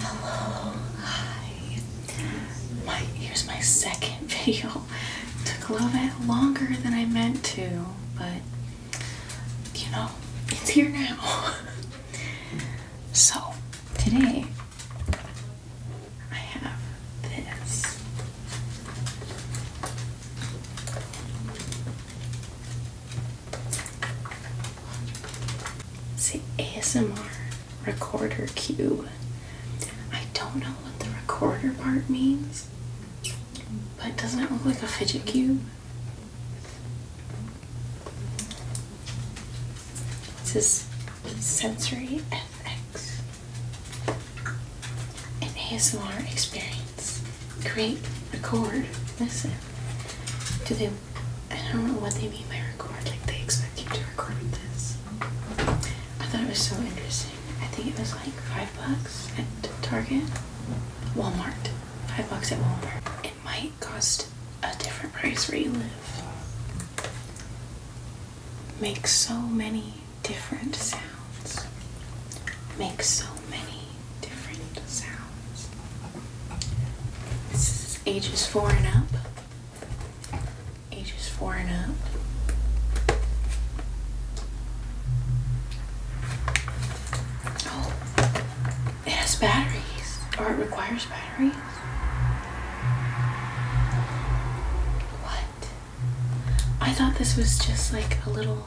Hello, hi. My here's my second video. Took a little bit longer than I meant to, but you know, it's here now. so today I have this. It's the ASMR recorder cube. I don't know what the recorder part means, but doesn't it look like a fidget cube? This is sensory FX, an ASMR experience create, record, listen to them. I don't know what they mean by record, like they expect you to record this. I thought it was so interesting. I think it was like five bucks at Target, Walmart, five bucks at Walmart. It might cost a different price where you live. Make so many different sounds. Make so many different sounds. This is ages four and up. Ages four and up. Oh, it has batteries, or it requires batteries. What? I thought this was just like a little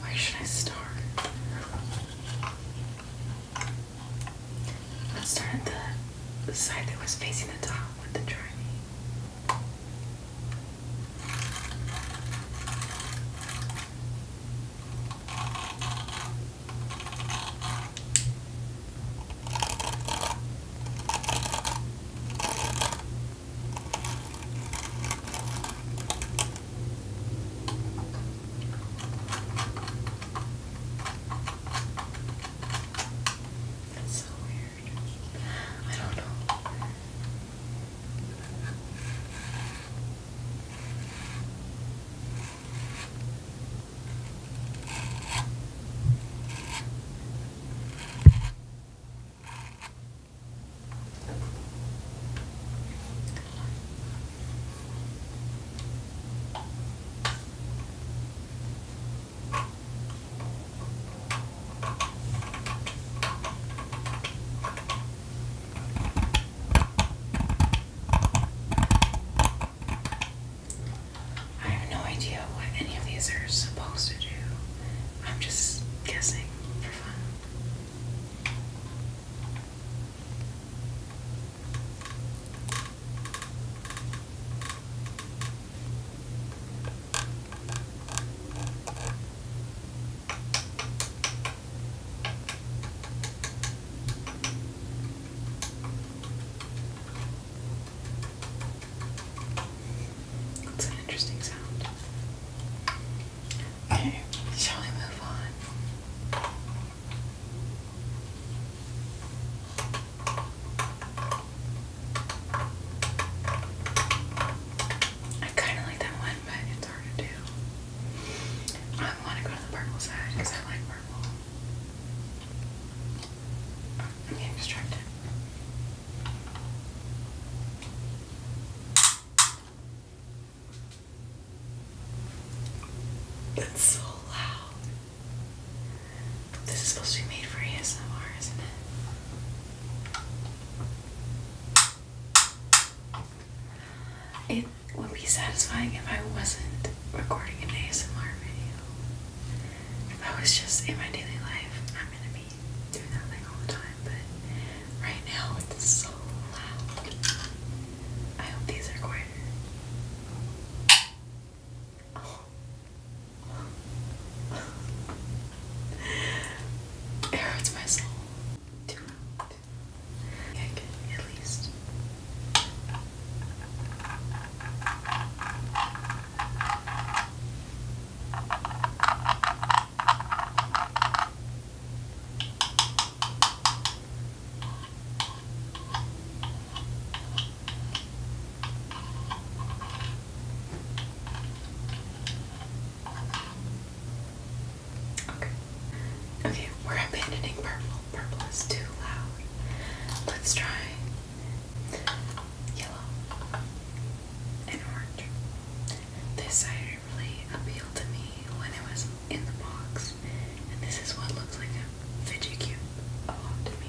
Why should I start? Let's start at the, side that was facing the top with the journey. That's so weird. I don't know. I have no idea what any of these are supposed to do. I'm just guessing for fun. That's an interesting sound. Okay. Shall we move on? I kind of like that one, but it's hard to do. I want to go to the purple side because I like purple. Oh, I'm getting that's so loud. This is supposed to be made for ASMR, isn't it? It would be satisfying if I wasn't recording an ASMR video. If I was just in my daily life, I'm gonna be do nothing all the time, but right now it's so loud. I hope these are quieter. it hurts my soul. Too loud. Okay, at least. Okay. Okay, we're abandoning purple. Purple is too loud. Let's try yellow, and orange. This cider really appealed to me when it was in the box, and this is what looks like a fidget cube a lot to me.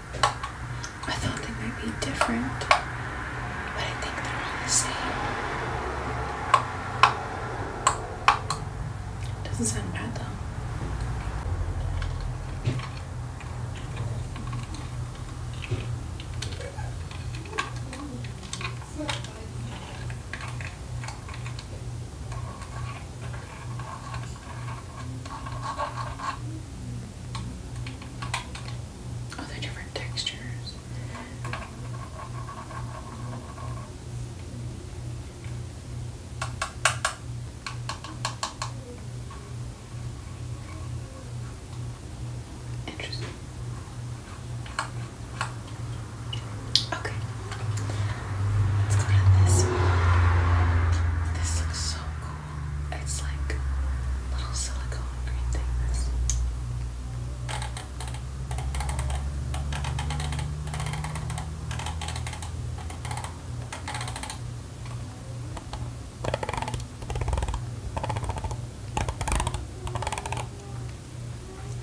I thought they might be different, but I think they're all the same. doesn't sound bad though all oh, the different textures. Interesting. Okay. Let's look this. This looks so cool. It's like little silicone green things.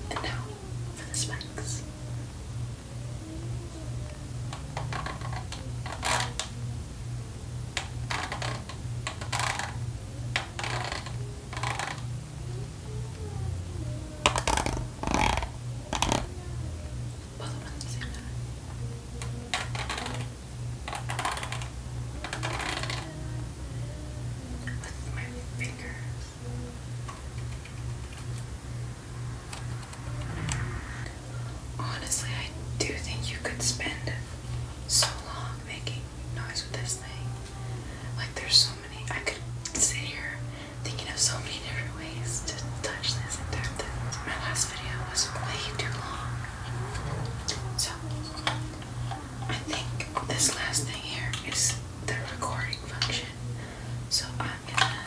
And now for the specs. Both of them at the same time. With my fingers. Honestly, I do think you could spend so long making noise with this thing. Like, there's so many. I could sit here thinking of so many different ways to touch this and tap this. My last video was way too long. So, I think this last thing here is the recording function. So, I'm gonna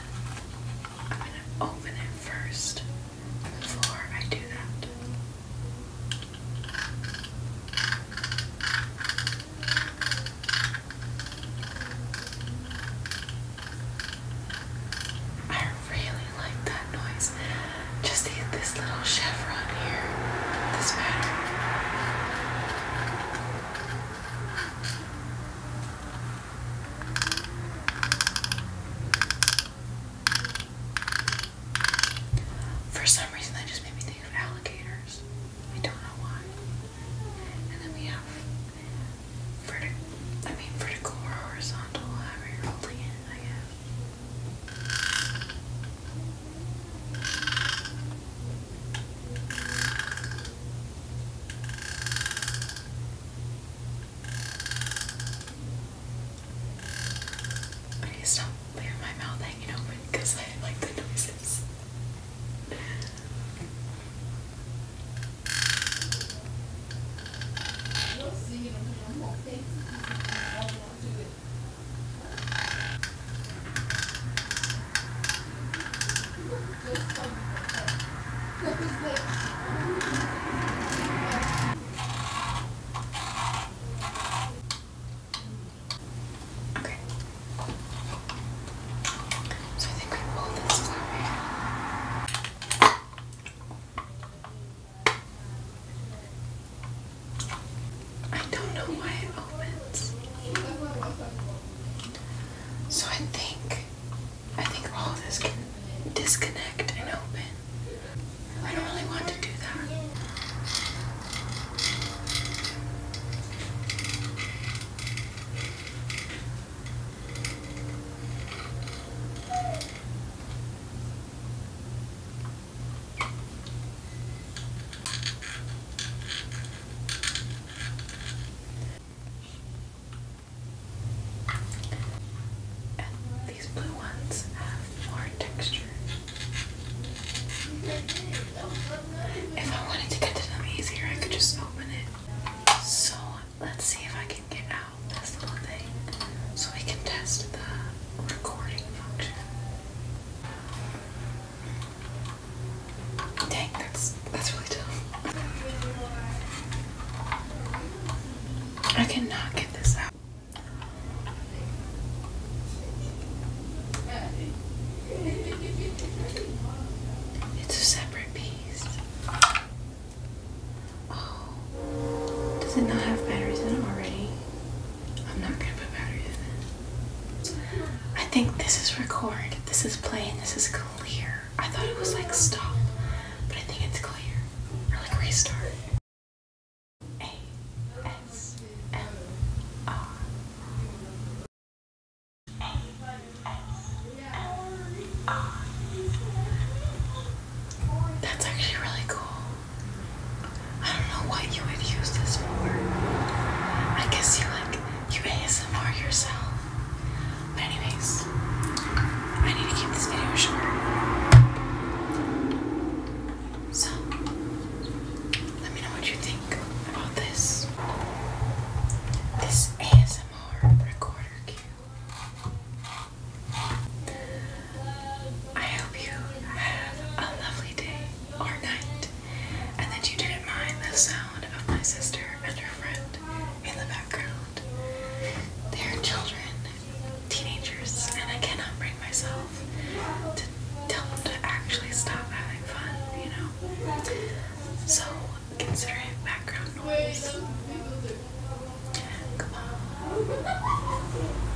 I'm going to open it first before I do that. I really like that noise. Just this little chevron here, this pattern. For some reason, that just made me think of alligators. We don't know why. And then we have vertical, I mean, vertical or horizontal, however you're holding it, I guess. Okay, stop leaving my mouth hanging open because I like the noises. Okay. So I think we pull this I don't know why it opens. So I think I think all this can disconnect and open. I don't really want to do that these blue ones have more texture. If I wanted to get to them easier, I could just open it. So let's see if I can get out this little thing so we can test the recording function. Dang, that's that's really tough. I cannot get this out. It's a separate piece. Oh. Does it not have batteries in it already? I'm not gonna put batteries in. I think this is record. This is play this is clear. I thought it was like stop, but I think it's clear. Or like restart. A S M R. A S M R. That's actually really cool. I don't know what you would use this for. I guess you like you ASMR yourself. anyways, I need to keep this video short. So let me know what you think about this. This ASMR recorder cue. I hope you have a lovely day or night, and that you didn't mind the sound of my sister and her friend in the background. They are children, teenagers, and I cannot bring myself to tell them to actually stop having fun, you know? So consider it background noise. Come on.